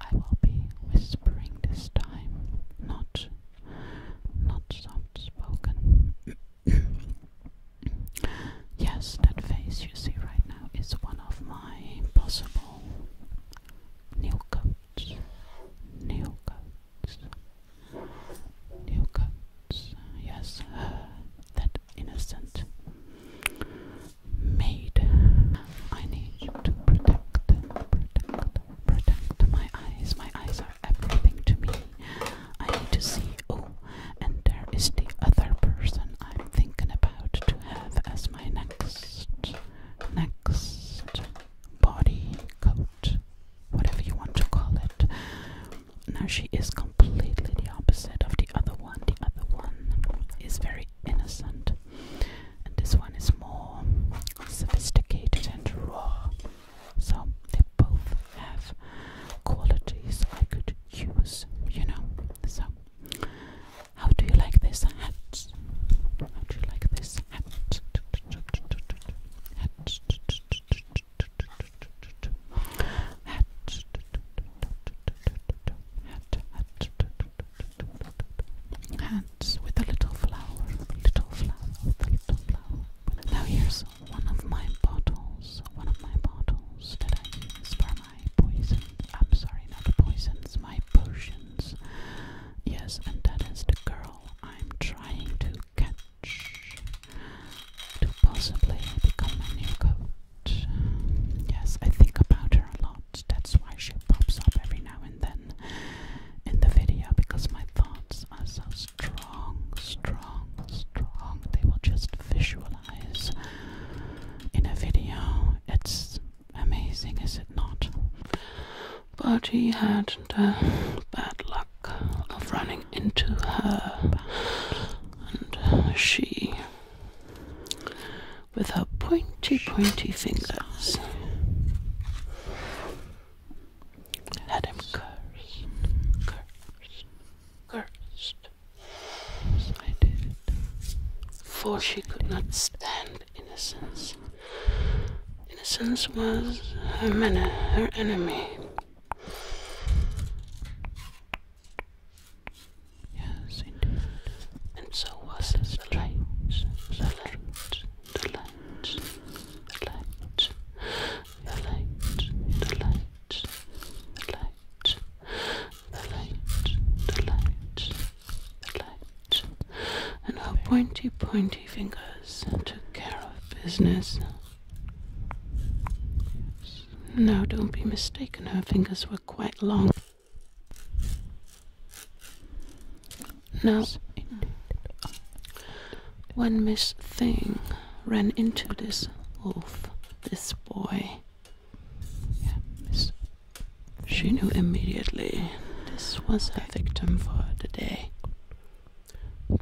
I will be whispering this time, not not soft spoken. yes, that face you see right now is one of my possible new coats. New coats. New coats. Yes, uh, that innocent made. I need to protect, protect, protect my eyes. My eyes are everything to me. I need to see. Oh, and there is the other person I'm thinking about to have as my next, next body coat, whatever you want to call it. Now she is completely the opposite of the other one. The other one is very innocent, and this one is more sophisticated and raw. So they both have qualities I could use, you know. So, how do you like this hat? How do you like this hat? Hat. Hat. Hat. Hat hands with a little flower, little flower, with a little flower. Now here's one of my bottles, one of my bottles that I use for my poison. I'm sorry, not poisons, my potions. Yes, and that is the girl I'm trying to catch to possibly become my new coach. Yes, I think about her a lot. That's why she pops up every now and then in the video because my thoughts are so strong, strong, strong. They will just visualize in a video. It's amazing, is it not? But he had the bad luck of running into her, and she with her pointy, pointy fingers. Had him cursed, cursed, cursed. Yes, I did. For she could not stand innocence. Innocence was her her enemy. Yes, indeed. And so was the lights, the lights, the lights, the lights, the lights, the lights, the lights, the lights, the lights, and our pointy, pointy fingers took care of business. Now, don't be mistaken, her fingers were quite long. Now, when Miss Thing ran into this wolf, this boy, she knew immediately this was a victim for the day.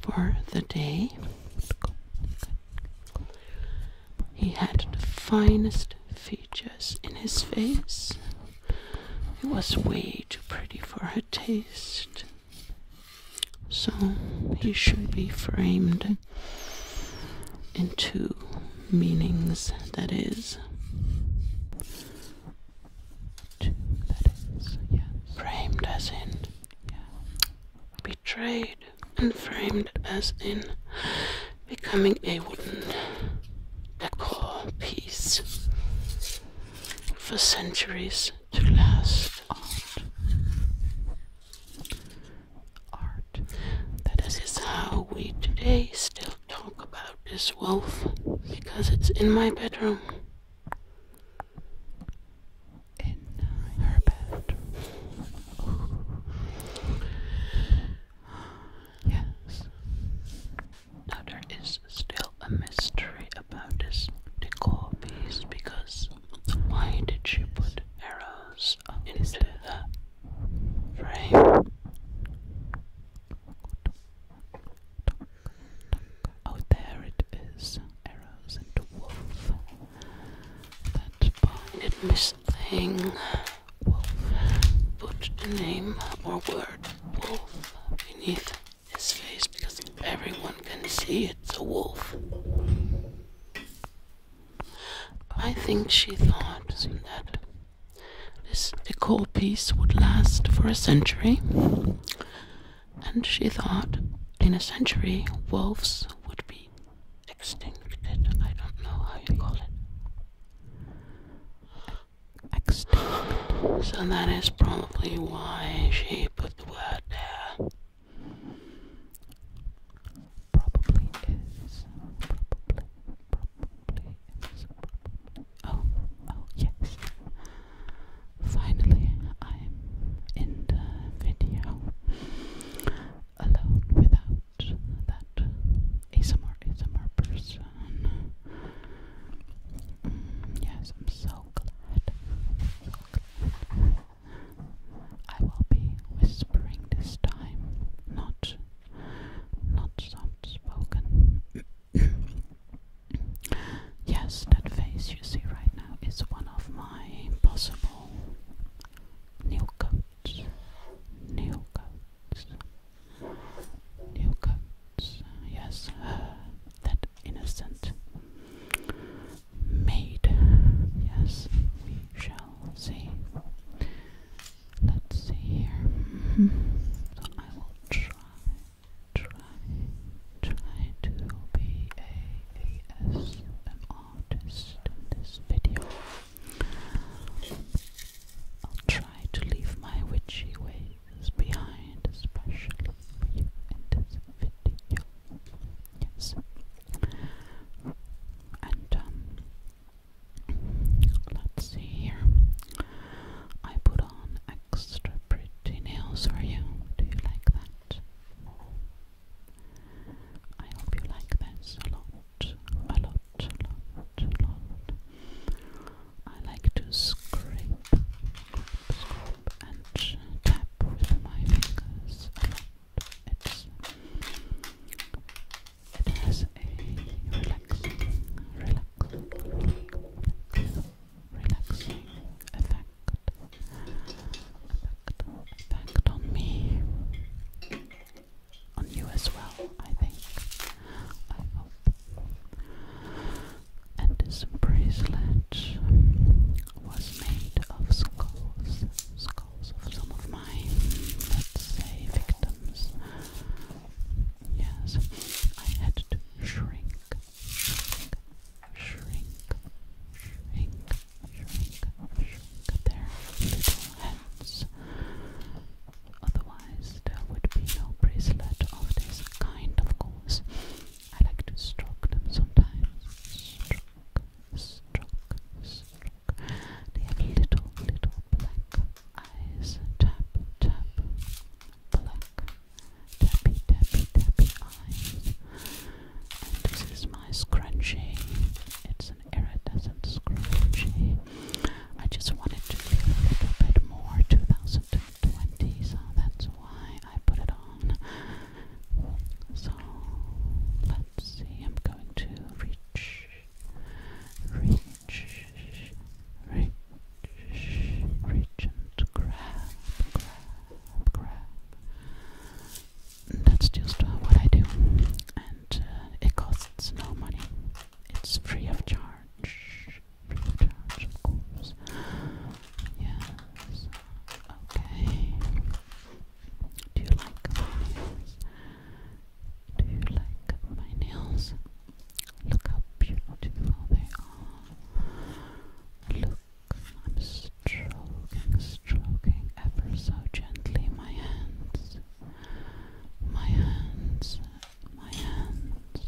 For the day. He had the finest features in his face. It was way too pretty for her taste. So he should be framed in two meanings that framed as in betrayed and framed as in becoming a wooden decor piece for centuries to last. Art. Art. That is how we today still talk about this wolf because it's in my bedroom. In her bedroom. Yes. Now there is still a mystery about this decor piece because why did she put arrows into the frame? Oh, there it is. Arrows and wolf. That blinded thing. Wolf. Put the name or word wolf beneath his face because everyone can see it's a wolf. I think she thought that this decor piece would last for a century, and she thought in a century wolves would be extincted. I don't know how you call it. Extincted. So that is probably why she put the word there. Probably is. Probably. Probably is. Oh, oh yes. Finally, I'm in the video alone without that ASMR, ASMR person. Mm, yes, I'm so glad. i will be whispering this time, not not soft spoken. yes, that face you see right now is one of my possible new coats, new coats, new coats. Yes, that innocent maid. Yes, we shall see. Let's see here. Mm-hmm. I will try, try, try to be a ASMR artist in this video. I'll try to leave my witchy ways behind, especially for you in Yes. And um let's see here. I put on extra pretty nails for you. Do you like that? I hope you like this a lot a lot, a lot, a lot. I like to scrape, scrape, and tap with my fingers a lot. It's, it has a relaxing, relaxing, relaxing effect. Effect, effect on me on you as well, I think. I hope. And this bracelet was made of skulls, skulls of some of my, let's say, victims. Yes, I had to shrink, shrink, shrink, shrink, shrink their little hands. Otherwise, there would be no bracelet of this kind, of course. I like to stroke them sometimes. Stroke, stroke, stroke. They have little, little black eyes. Tap, tap, black. Tappy, tappy, tappy eyes this is my scrunchie. It's an iridescent scrunchie. I just wanted to feel a little bit more 2020, so that's why I put it on. So let's see. I'm going to reach, reach, reach, reach and grab, grab, grab that's just uh, what I do, and uh, it costs no money. It's free of charge. Free of charge, of course. Yes. Okay. Do you like Do you like my nails? Look how beautiful they are. Look, I'm stroking, stroking ever so gently my hands, my hands, my hands,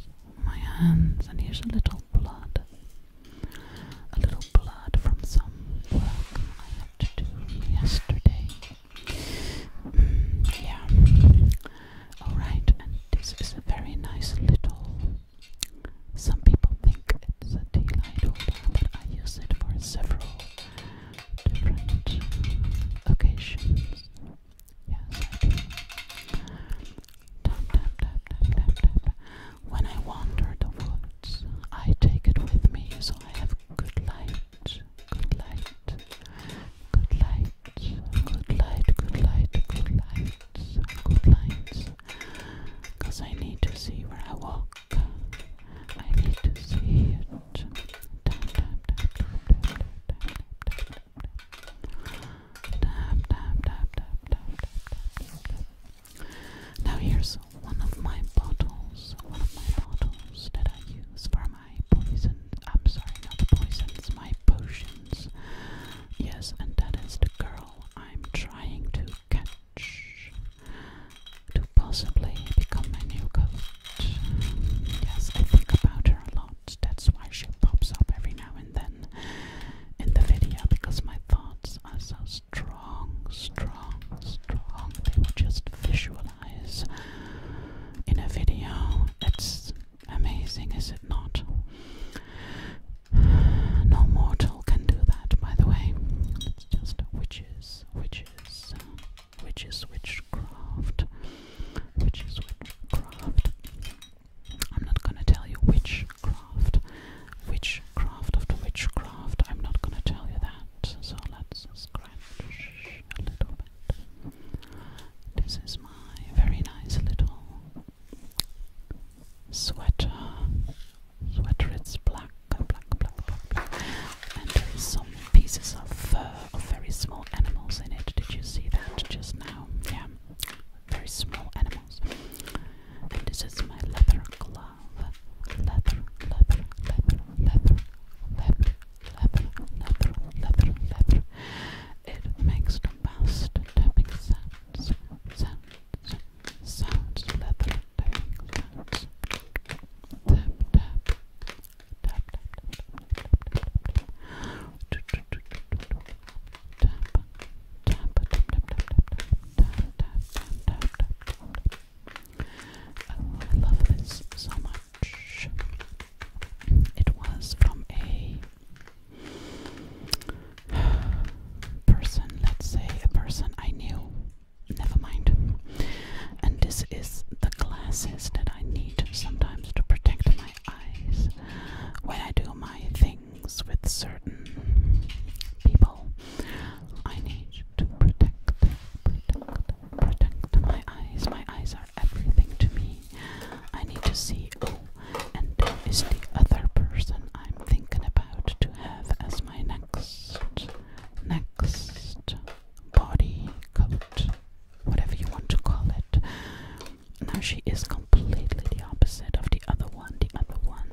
my hands, and here's a little blood, a little blood from some work I had to do yesterday. Mm, yeah. Alright, and this is a very nice little. Some people think it's a tea light holder, but I use it for several different occasions. Yes, Tap, tap, tap, tap, tap, tap. When I wander the woods, I take it with me, so I have good light, good light, good light, good light, good light, good light, good light. Because I need to see where I walk. I need to see it. Now here's one of my bottles. One of my bottles that I use for my poison. I'm sorry, not poisons. My potions. Yes, and that is the girl I'm trying to catch to possibly become my new coach. Yes, I think about her a lot. That's why she pops up every now and then in the video because my thoughts are so strong, strong, strong. They will just visualize in a video. It's amazing, is it not? No mortal can do that, by the way just witches, witches, witches, witchcraft, witches, witchcraft. I'm not gonna tell you witchcraft, witchcraft of the witchcraft. I'm not gonna tell you that. So let's scratch a little bit. This is my very nice little sweater. Sweater it's black, black, black, black, black. And there is some pieces uh, of very small animals in it. Did you see that just now? Yeah. Very small animals. And this is my leather glove. Leather, leather, leather, leather, leather, leather, leather, leather, leather. It makes the best tapping sounds, sounds, sounds, leather, things. Tap I love this so much. It was from a person, let's say a person I knew. Never mind. And this is the glasses that I need sometimes to protect my eyes when I do my things with certain people. I need to protect, protect, protect my eyes. My eyes are everything to me. I need to see. Oh, and there is the other person I'm thinking about to have as my next next body coat, whatever you want to call it. Now she is completely the opposite of the other one. The other one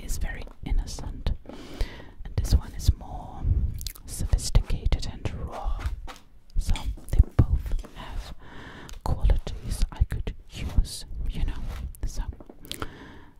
is very innocent, and this one is more sophisticated and raw. So they both have qualities I could use, you know. So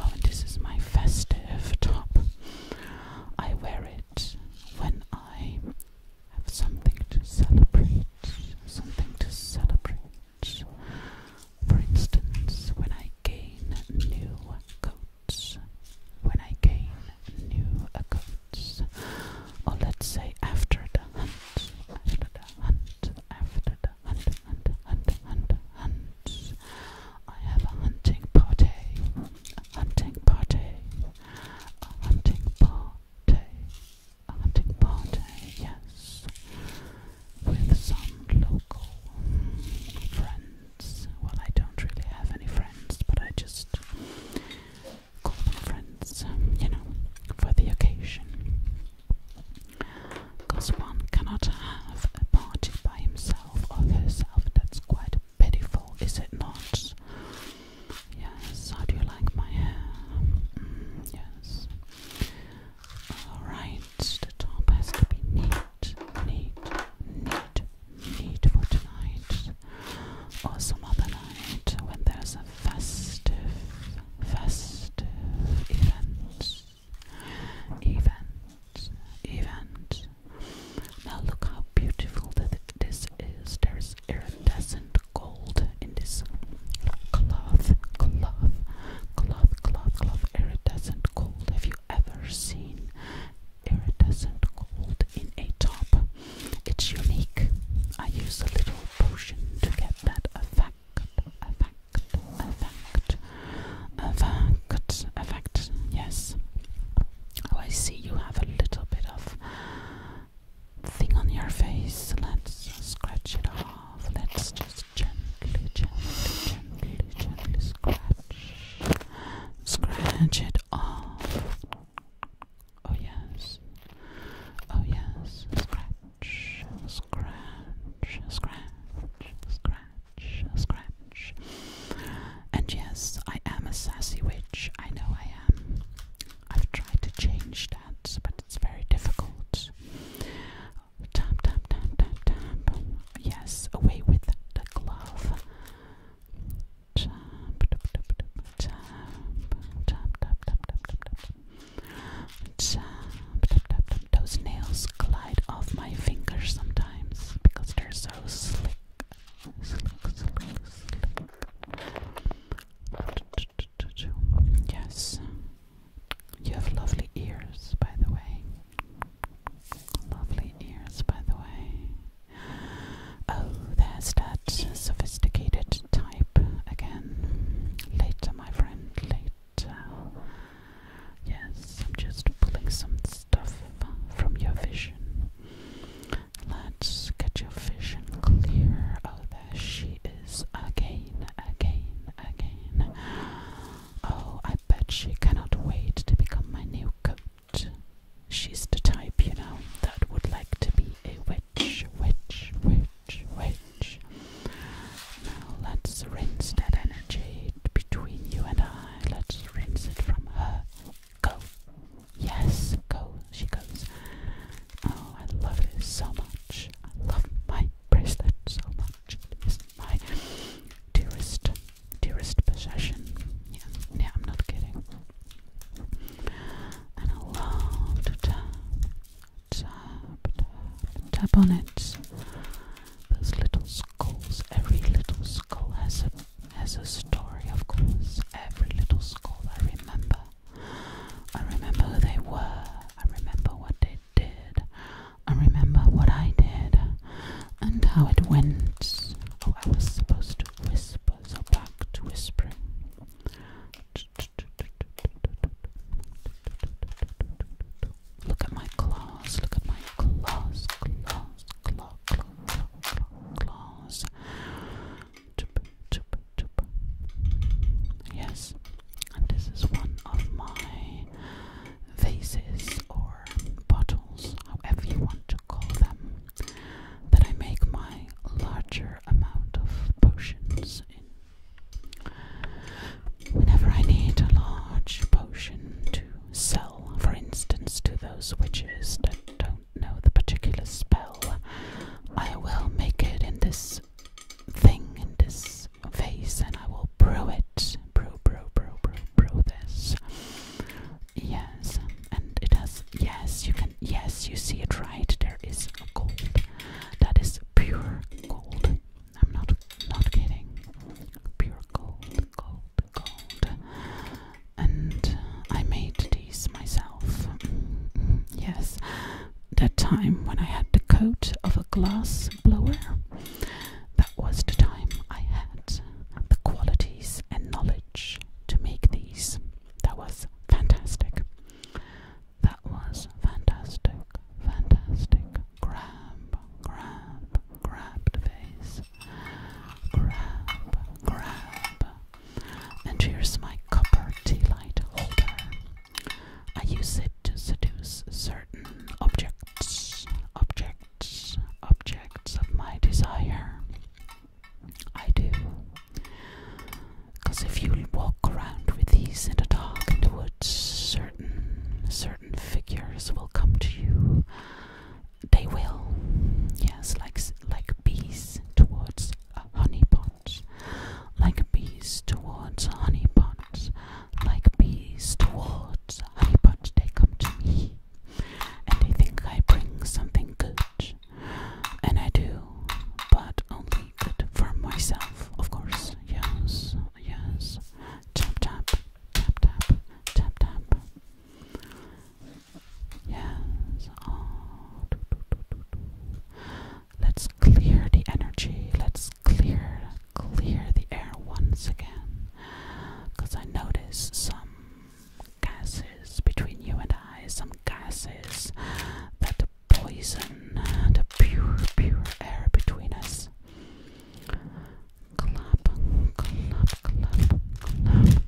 Oh, and this is my festive top. I wear it when I have something to celebrate. Something to celebrate. For instance, when I gain new coats. When I gain new coats. Or oh, let's say after the hunt. After the hunt. After the hunt hunt, hunt, hunt, hunt. I have a hunting party, a hunting party, a hunting party, a hunting party, yes, with some local friends. Well, I don't really have any friends, but I just call them friends, you know, for the occasion. Because one cannot have a party by himself or herself. That's quite pitiful, is it not? Yes, how do you like my hair? Mm, yes. Alright, the top has to be neat, neat, neat, neat for tonight. Or some other night when there's a festive, festive event. Event, event. Now look how beautiful this is. There is iridescent gold in this cloth, cloth, cloth, cloth, cloth. Iridescent gold. Have you ever seen iridescent gold in a top? It's unique. I use a little potion to get that effect. Effect effect, effect, effect. Yes. Oh, I see you have a little bit of thing on your face. Let's scratch it off. Let's just gently, gently, gently, gently scratch, scratch it off. Oh yes, oh yes, scratch, scratch, scratch, scratch. And yes, I am a sassy witch. I know I am. I've tried to change that, but it's very difficult. Tap, tap, tap, tap, tap. Yes, away with the glove. Tap, tap, tap, tap, tap, tap, tap, tap, tap, tap, tap. Those nails glide off my fingers sometimes because they're so slick. Yes, you have lovely ears, by the way. Lovely ears, by the way. Oh, there's that sophisticated type again. Later, my friend, later tell. Yes, I'm just pulling some stuff from your vision. Let's get your vision clear. Oh, there she is again, again, again. Oh, I bet she cannot wait to become my new coat. She's the type, you know, that would like to be a witch, witch, witch which, Now let's rinse that energy between you and I. Let's rinse it from her. Go. Yes, go. She goes. Oh, I love this so much. I love my bracelet so much. It is my dearest, dearest possession. Yeah, yeah, I'm not kidding. And I love to tell tap, on it. Those little skulls. Every little skull has a has a story, of course. Every little skull. I remember. I remember who they were. I remember what they did. I remember what I did and how it went. Oh, I was supposed to whisper, so back to whispering. Look at my claws, look at my claws, claws, claw, claw, claw, claws. Yes, and this is one of my vases or bottles, however you want to call them, that I make my larger amount of potions in. Whenever I need a large potion to sell, for instance, to those witches that don't know the particular spell, I will make it in this thing, in this vase, and I will brew it. Brew, brew, brew, brew, brew this. Yes, and it has, yes, you can, yes, you see it right. There is gold that is pure gold. I'm not not kidding. Pure gold, gold, gold. And I made these myself. Mm-hmm. Yes, that time when I had the coat of a glass blower. That was the time I had the qualities and knowledge to make these. That was fantastic. That was fantastic, fantastic. Grab, grab, grab the vase. Grab, grab. And here's my copper tea light holder. I use it to seduce certain objects, objects, objects of my desire. I do because if you walk around with these in the dark in certain certain figures will come to you. They will, yes, like like bees towards a honeypot, like bees towards a honeypot, like bees towards a honeypot. They come to me, and they think I bring something good, and I do, but only for myself, of course. Yes, yes. Tap, tap, tap, tap, tap, Yes. Oh. Let's clear the energy. Let's clear, clear the air once again. Because I notice some gases between you and I, some gases that poison and pure, pure air between us. Clap, clap, clap,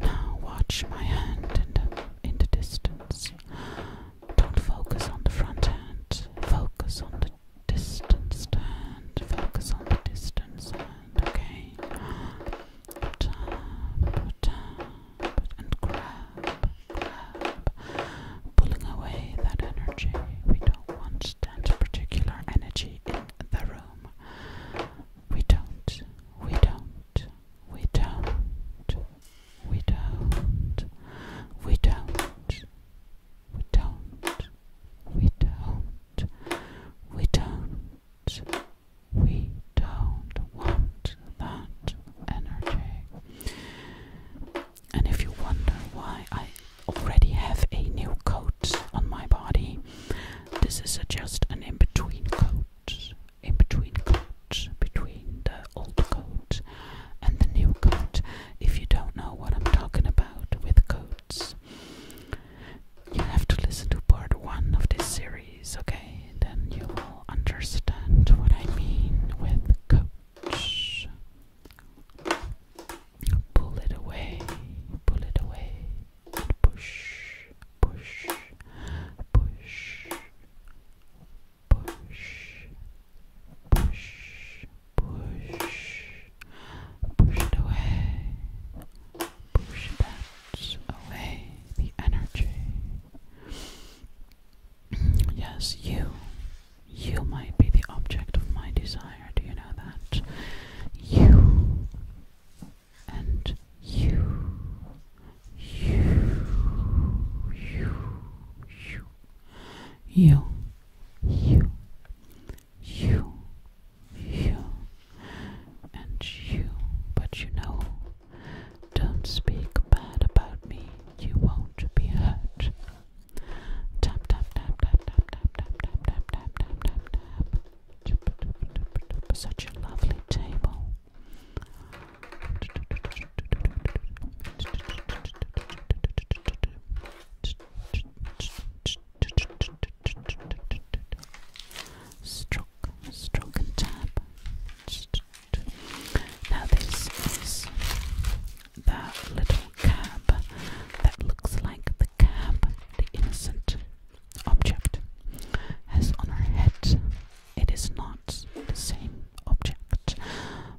Now watch my hand in the, in the distance. Don't focus on the front hand, focus on distance hand. Focus on the distance hand. Okay. Tap, tap, and grab, grab. Pulling away that energy. We don't want that particular energy in the room. We don't. We don't. We don't. We don't. We don't we don't, we don't, we don't, we don't want that energy. And if you wonder why I already have a new coat on my body, this is just an in between coat, in between coat, between the old coat and the new coat. If you don't know what I'm talking about with coats, you have to listen to part one of this series, okay? Then you will understand what I mean with coach. Pull it away, pull it away, push, push, push, push, push, push, push it away, push that away, the energy. Yes, you. You might be the object of my desire. Do you know that? You and you. You. You. You. You. You you, you, and you. But you know, don't speak bad about me. You won't be hurt. Tap tap tap tap tap tap tap tap tap tap tap Such a lovely table stroke, stroke and tap. Now this is that little cab that looks like the cab the innocent object has on her head. It is not the same object,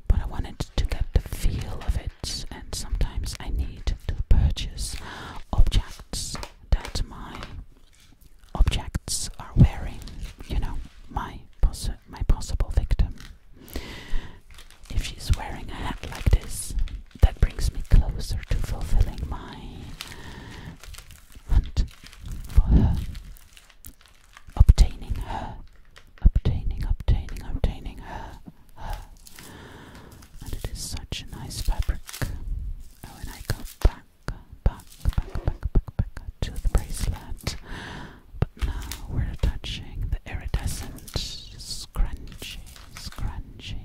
but I wanted to get the feel of it and sometimes I need to purchase objects that my objects are wearing. You know, my poss my possible victim. If she's wearing a hat like this, that brings me closer to fulfilling my hunt for her, obtaining her obtaining, obtaining, obtaining her, And it is such a nice fabric. Oh, and I go back, back, back, back, back, back to the bracelet. But now we're touching the iridescent, scrunchy, scrunchy,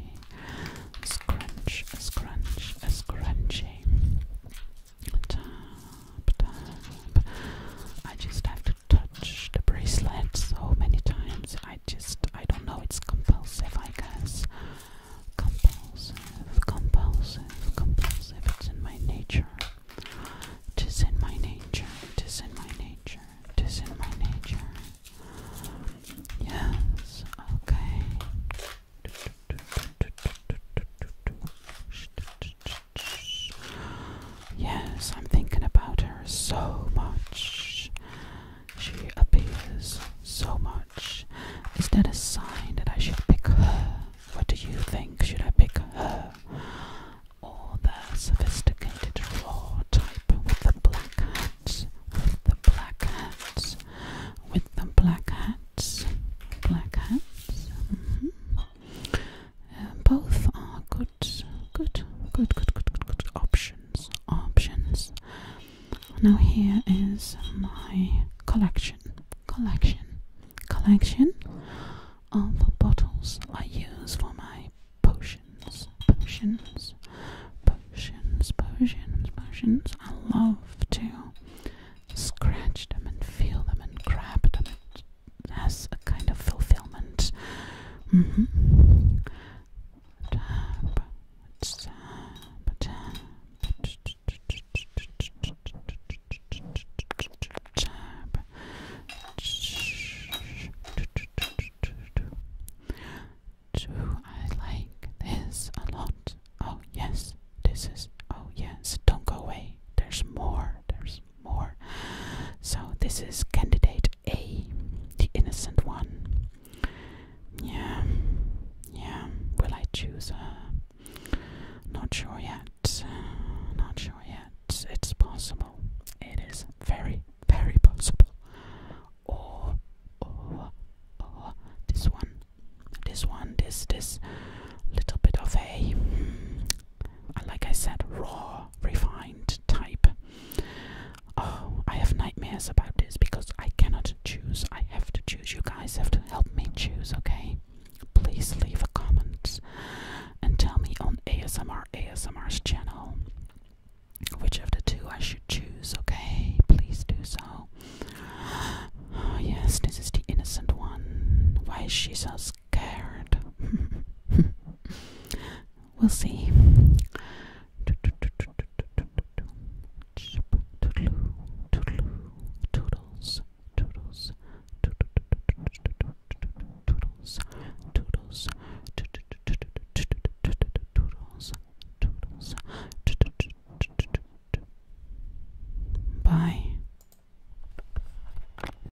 scrunch, scrunch, scrunchy. Tap, I just have to touch the bracelet so many times. I just, I don't know, it's compulsive, I guess. Compulsive, compulsive, compulsive. It's in my nature. It is in my nature. It is in my nature. It is in my nature. Yes, okay. Yes, I'm thinking about her so much. She appears so much. Is that a sign that I should pick her? What do you think? Should I pick her? Or the sophisticated raw type with the black hats? With the black hats? With the black hats? Black hats? Mm-hmm. Uh, both are good good, good, good, good, good, good, good options, options. Now here is my collection, collection, collection of bottles I use for my potions, potions, potions, potions, potions. I love to scratch them and feel them and grab them and has a kind of fulfillment. Mm -hmm. tap, tap, tap, tap. Do I like this a lot? Oh, yes, this is. Oh, yes, don't go away. There's more. There's more. So this is candidate A, the innocent one. Yeah, yeah. Will I choose her? Not sure yet. Not sure yet. It's possible. It is very, very possible. Or, or, or this one. This one. This, this little bit of a hmm, like I said, raw, refined type. Oh, I have nightmares about this because I cannot choose. I have to choose. You guys have to help me choose, okay? Please leave a comment and tell me on ASMR ASMR's channel which of the two I should choose, okay? Please do so. Oh, yes, this is the innocent one. Why is she so scared? scared. we'll see. toodles, toodles. Bye.